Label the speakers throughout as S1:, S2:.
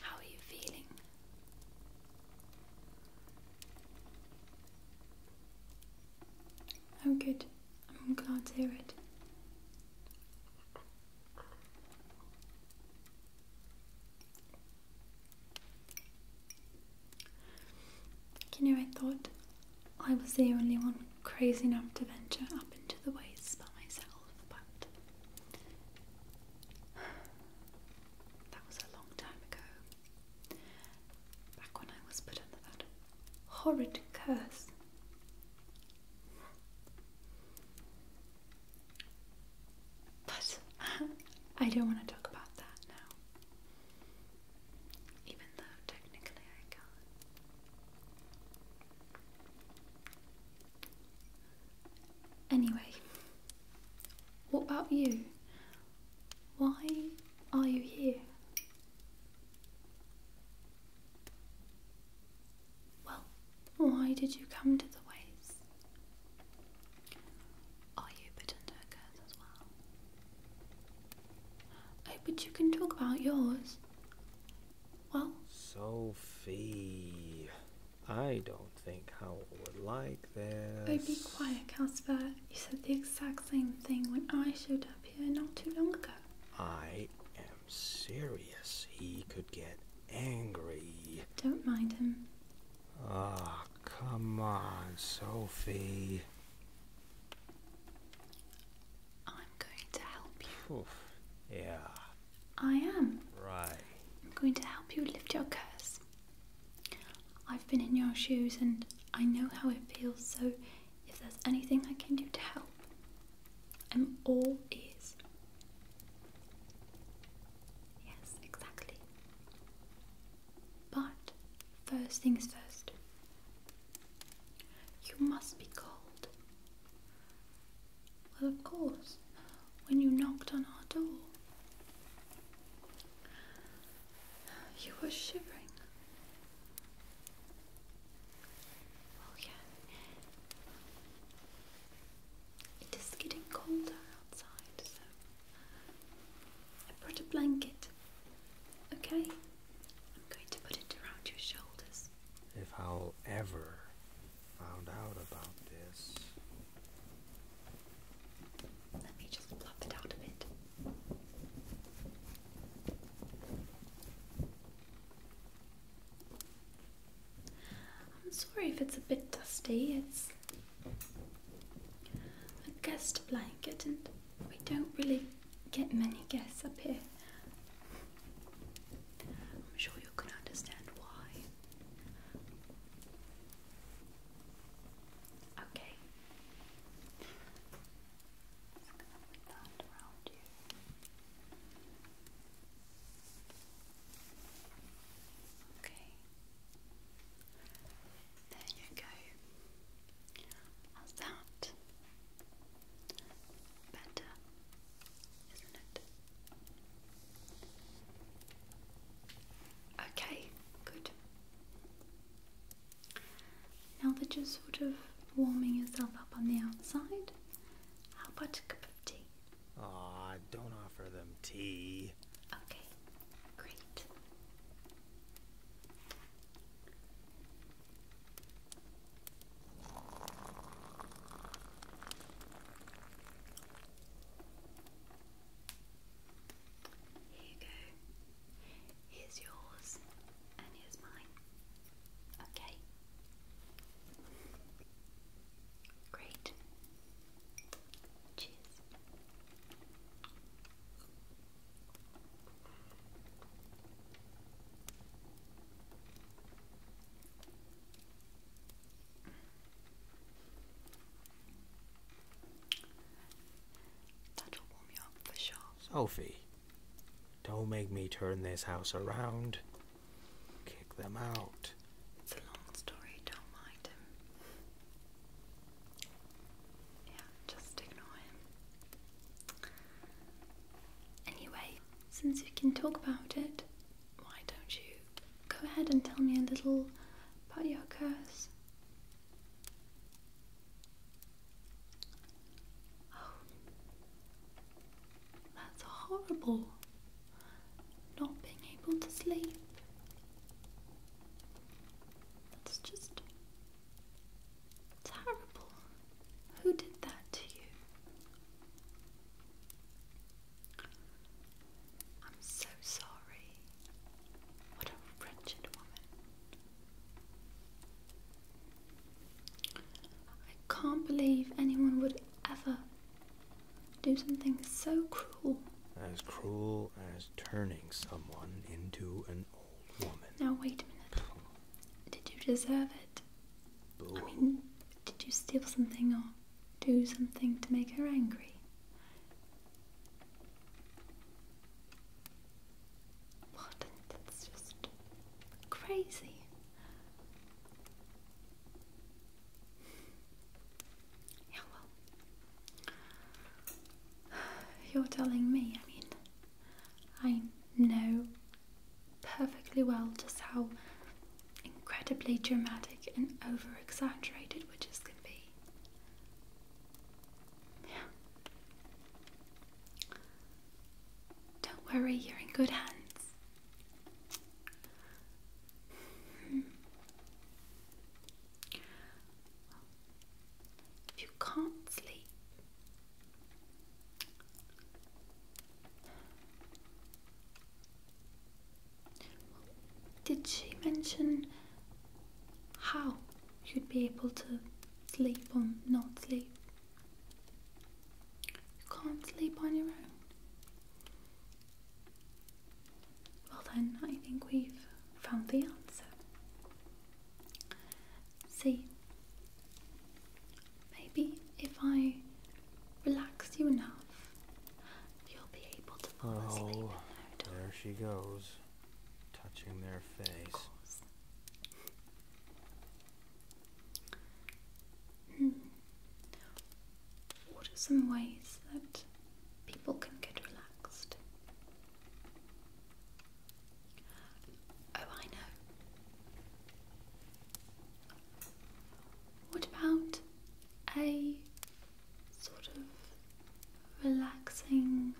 S1: How are you feeling? Oh, good. I'm glad to hear it. You know, I thought I was the only one crazy enough to venture up into the wastes by myself but that was a long time ago. Back when I was put under that horrid curse. But I don't want to talk about that now. Even though technically I can. Anyway, what about you? Why are you here? Well, why did you come to the ways? Are you put as well? Oh, but you can talk about yours. Well, Sophie, I don't think Howell would like this. be quiet, Casper. You said the exact same thing when I showed up here not too long ago. I am serious. He could get angry. Don't mind him. Ah, come on, Sophie. I'm going to help you. Yeah.
S2: I am.
S1: Right. I'm going to help you lift your curse. I've been in your shoes and I know how it feels, so if there's anything I can do to help, I'm all ears. Yes, exactly. But first things first, you must be cold well, of course, when you knocked on our door, you were shivering. Oh, yeah. It is getting colder outside, so I brought a blanket. Okay? I'm going to put it around your shoulders. If I'll ever found out about this. Let me just plop it out a bit. I'm sorry if it's a bit dusty. It's a guest blanket, and we don't really get many guests up here. I'm sure you can understand why. Okay. Okay. There you go. How's that? better, isn't it? Okay, good. Now that you're sort of warming yourself up on the outside, how about a cup of tea? Aw, oh, don't offer them tea. Okay, great. Here you go. Here's yours, and here's mine. Okay. Great. Cheers. Sophie, don't make me turn this house around. Kick them out. It's a long story, don't mind him. Yeah, just ignore him. Anyway, since you can talk about it, why don't you go ahead and tell me a little about your curse? Oh, that's horrible. Not being able to sleep. That's just Terrible. Who did that to you? I'm so sorry. What a wretched woman. I can't believe anyone would ever do something so cruel. As cruel as turning someone into an now, wait a minute. Did you deserve it? I oh. mean, did you steal something or do something to make her angry? What? That's just crazy. Yeah, well, you're telling me, I mean, I know perfectly well just how incredibly dramatic and over exaggerated witches can be. Don't worry, you're in good hands. Hmm. If you can't sleep, did she mention how you'd be able to sleep or not sleep? You can't sleep on your own. Well, then, I think we've found the answer. See, maybe if I relax you enough, you'll be able to fall oh, asleep. Oh, there she goes, touching their face. Hmm. What are some ways that people can get relaxed? Oh, I know. What about a sort of relaxing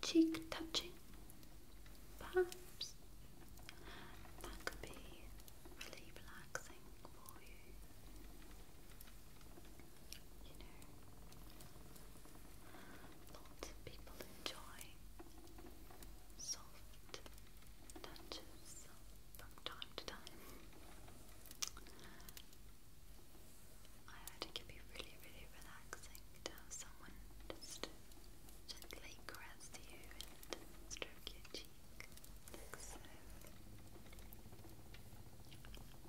S1: cheek touching? Perhaps that could be really relaxing for you you know, lots of people enjoy soft touches from time to time. I heard it can be really, really relaxing to have someone just gently caress you and stroke your cheek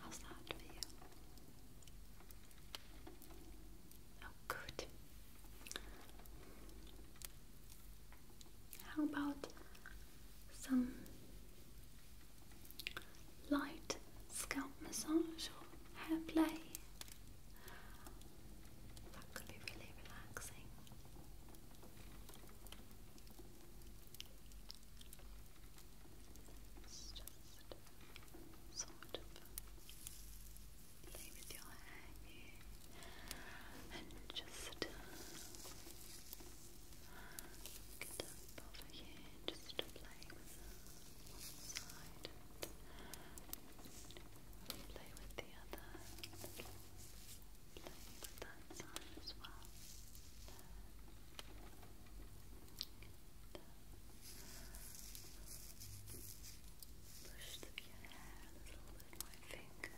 S1: How's that for you? Oh, good. How about some light scalp massage or hair play? That could be really relaxing. just sort of play with your hair and just get up over here just play with one side and with the other play with that side as well Push through hair a little with my finger.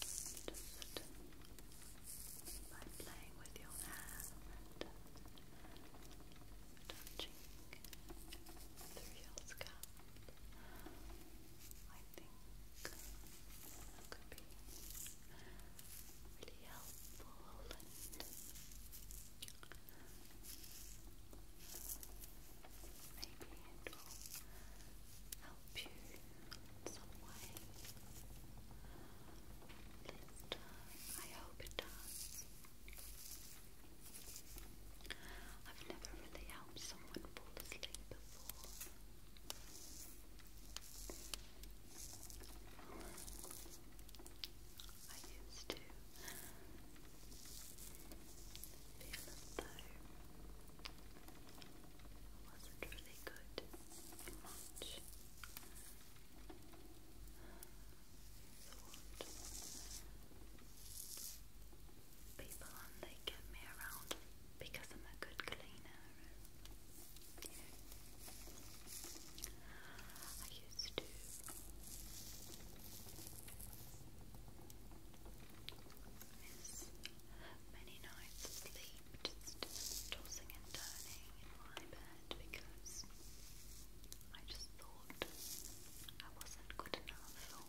S1: Just by playing with your hair and touching through your scalp, I think could be really helpful and Maybe it will help help you in some way. Please I hope it does. I've never really helped someone fall asleep before. I used to feel as though I wasn't really good much thought. People and get me around because I'm a good cleaner. I used to miss many nights' sleep, tossing and turning in my bed because I just thought I wasn't good enough, or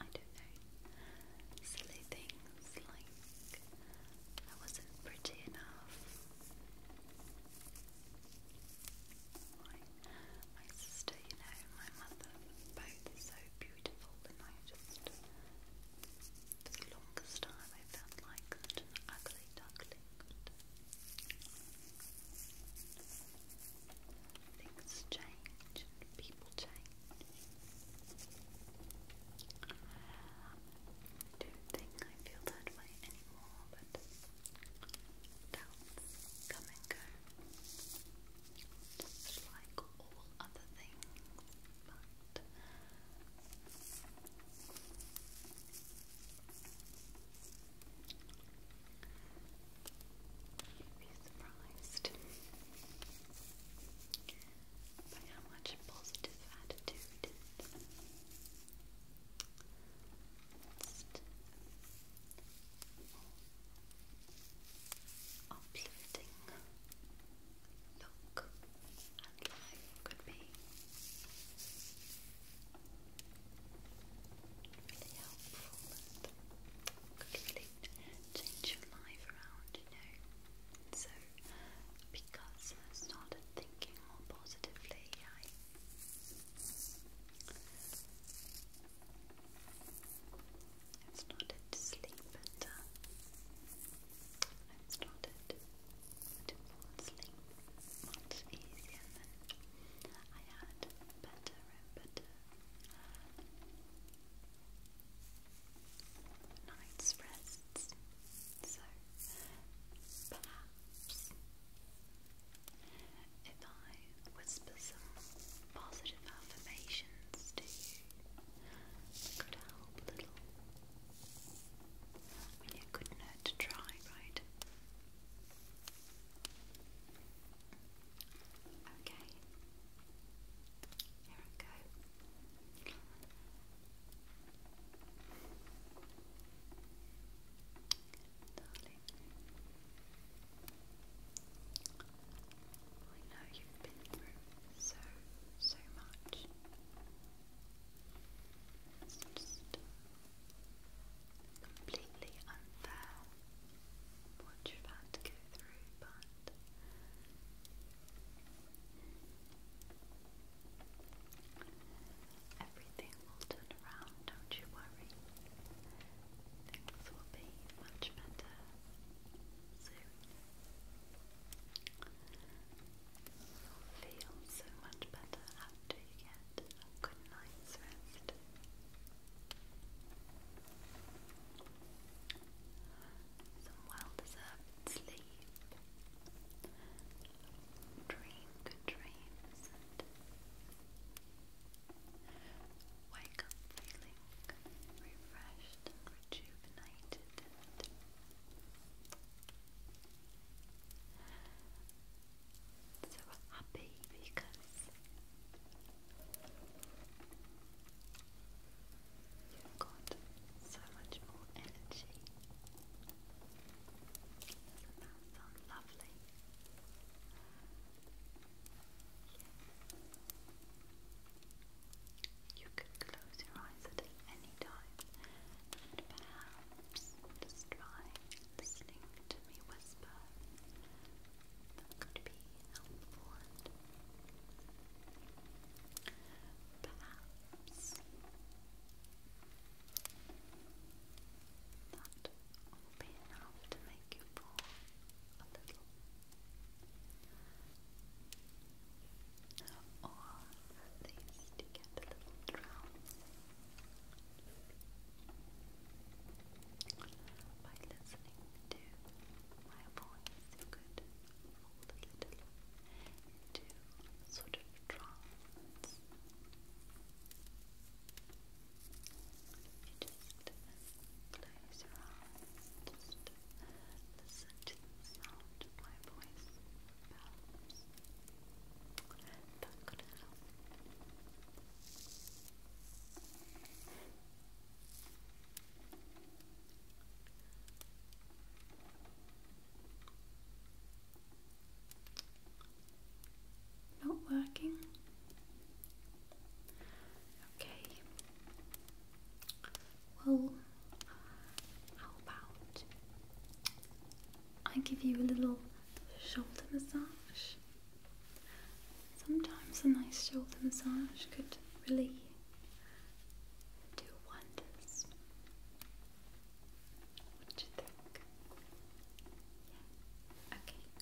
S1: I don't know, silly things like I wasn't pretty enough. My, sister, you know, my mother, both so beautiful, and I just the longest time I felt like an ugly duckling. Things change people change. I don't think I feel that way anymore, but doubts come and go just like all other things, but you'd be surprised by how much positive attitude uplifting look and life could be. Really helpful and could change your life around, you know. So, because I started thinking more positively, I I've started to sleep better. i started to fall asleep much easier than I had. Better and better night's rests. So perhaps if I whisper some positive affirmations to you could help little. I mean, it couldn't to try, right? Okay, here I go. Darling, I know you've been through so, so much. It's uh, completely unfair what you've had to go through, but everything will turn around, don't you worry things will be much better You'll feel so much better after you get a good night's rest. Some well deserved sleep. Dream good dreams Wake up feeling refreshed rejuvenated so happy because you've got so much more energy. Doesn't that sound lovely? You can close your eyes at any time perhaps just try listening to me whisper. That could be helpful perhaps that will be enough to make thank you or at least little drowsy by listening to my voice you could fall a little into sort of trance just close your eyes, just listen to the sound of my voice bells. That's help. Not working. Okay. Well, how about I give you a little shoulder massage? Sometimes a nice shoulder massage could really do wonders. What do you think? Okay.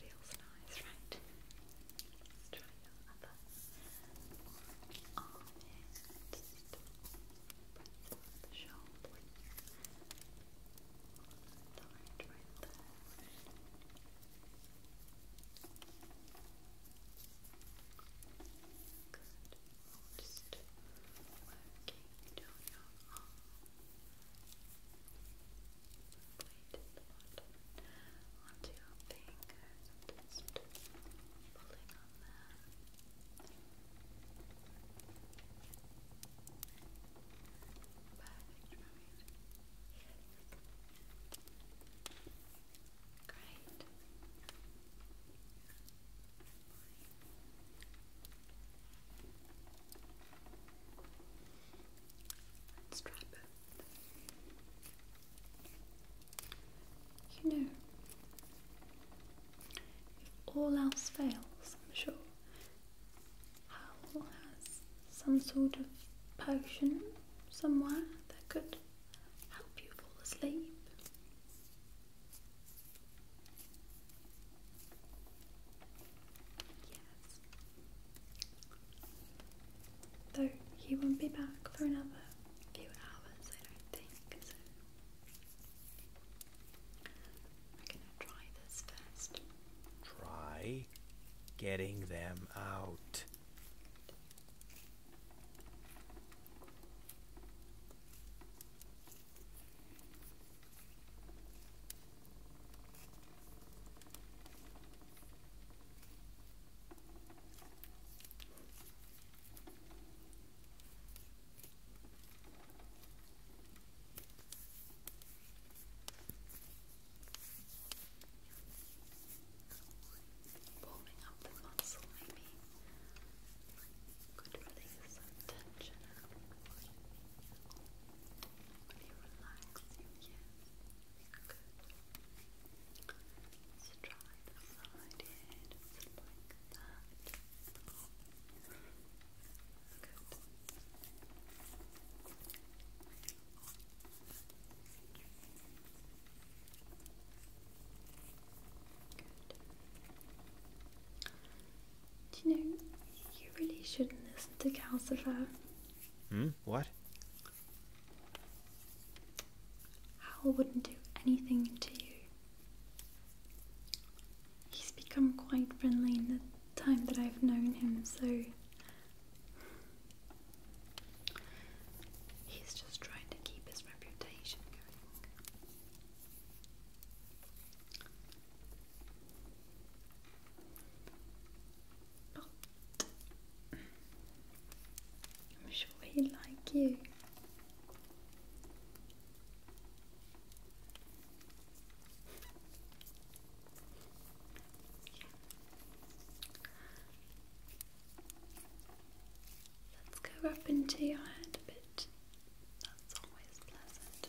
S1: Feels nice, right? Let's try your other arm here. Just press on the shoulder. Tight right there. Good. Good. Working down your arm. Plate the bottom onto your fingers. Just on that. Great. Let's You know, if all else fails, I'm sure Howell has some sort of potion somewhere that could help you fall asleep. Yes. Though he won't be back for another few hours, I don't think, I'm gonna try this first. Try getting them out. Warming up the muscle maybe could release some tension. When you relax, good. try the side here, just like that. Do you know, you really shouldn't listen to Calcifer. Hmm? What? Hal wouldn't do anything to you. He's become quite friendly in the time that I've known him, so He's just trying to keep his reputation going. I'm sure he'd like you. Let's go up into your head a bit. That's always pleasant,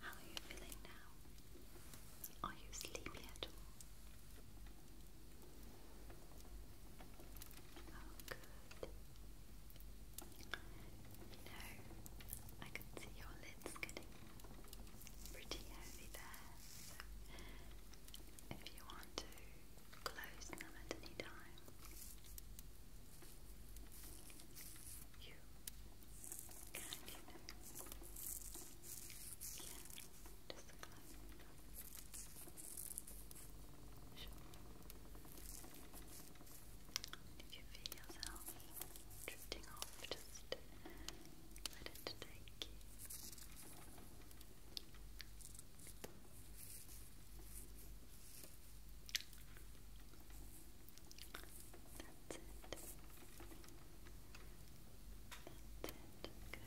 S1: How are you feeling now? Are you sleepy at all? Oh, good. You know, I can see your lids getting pretty heavy there. if you want to close them at any time. If you feel yourself drifting off, just let it take you. That's it. That's it. Good. Good. Good.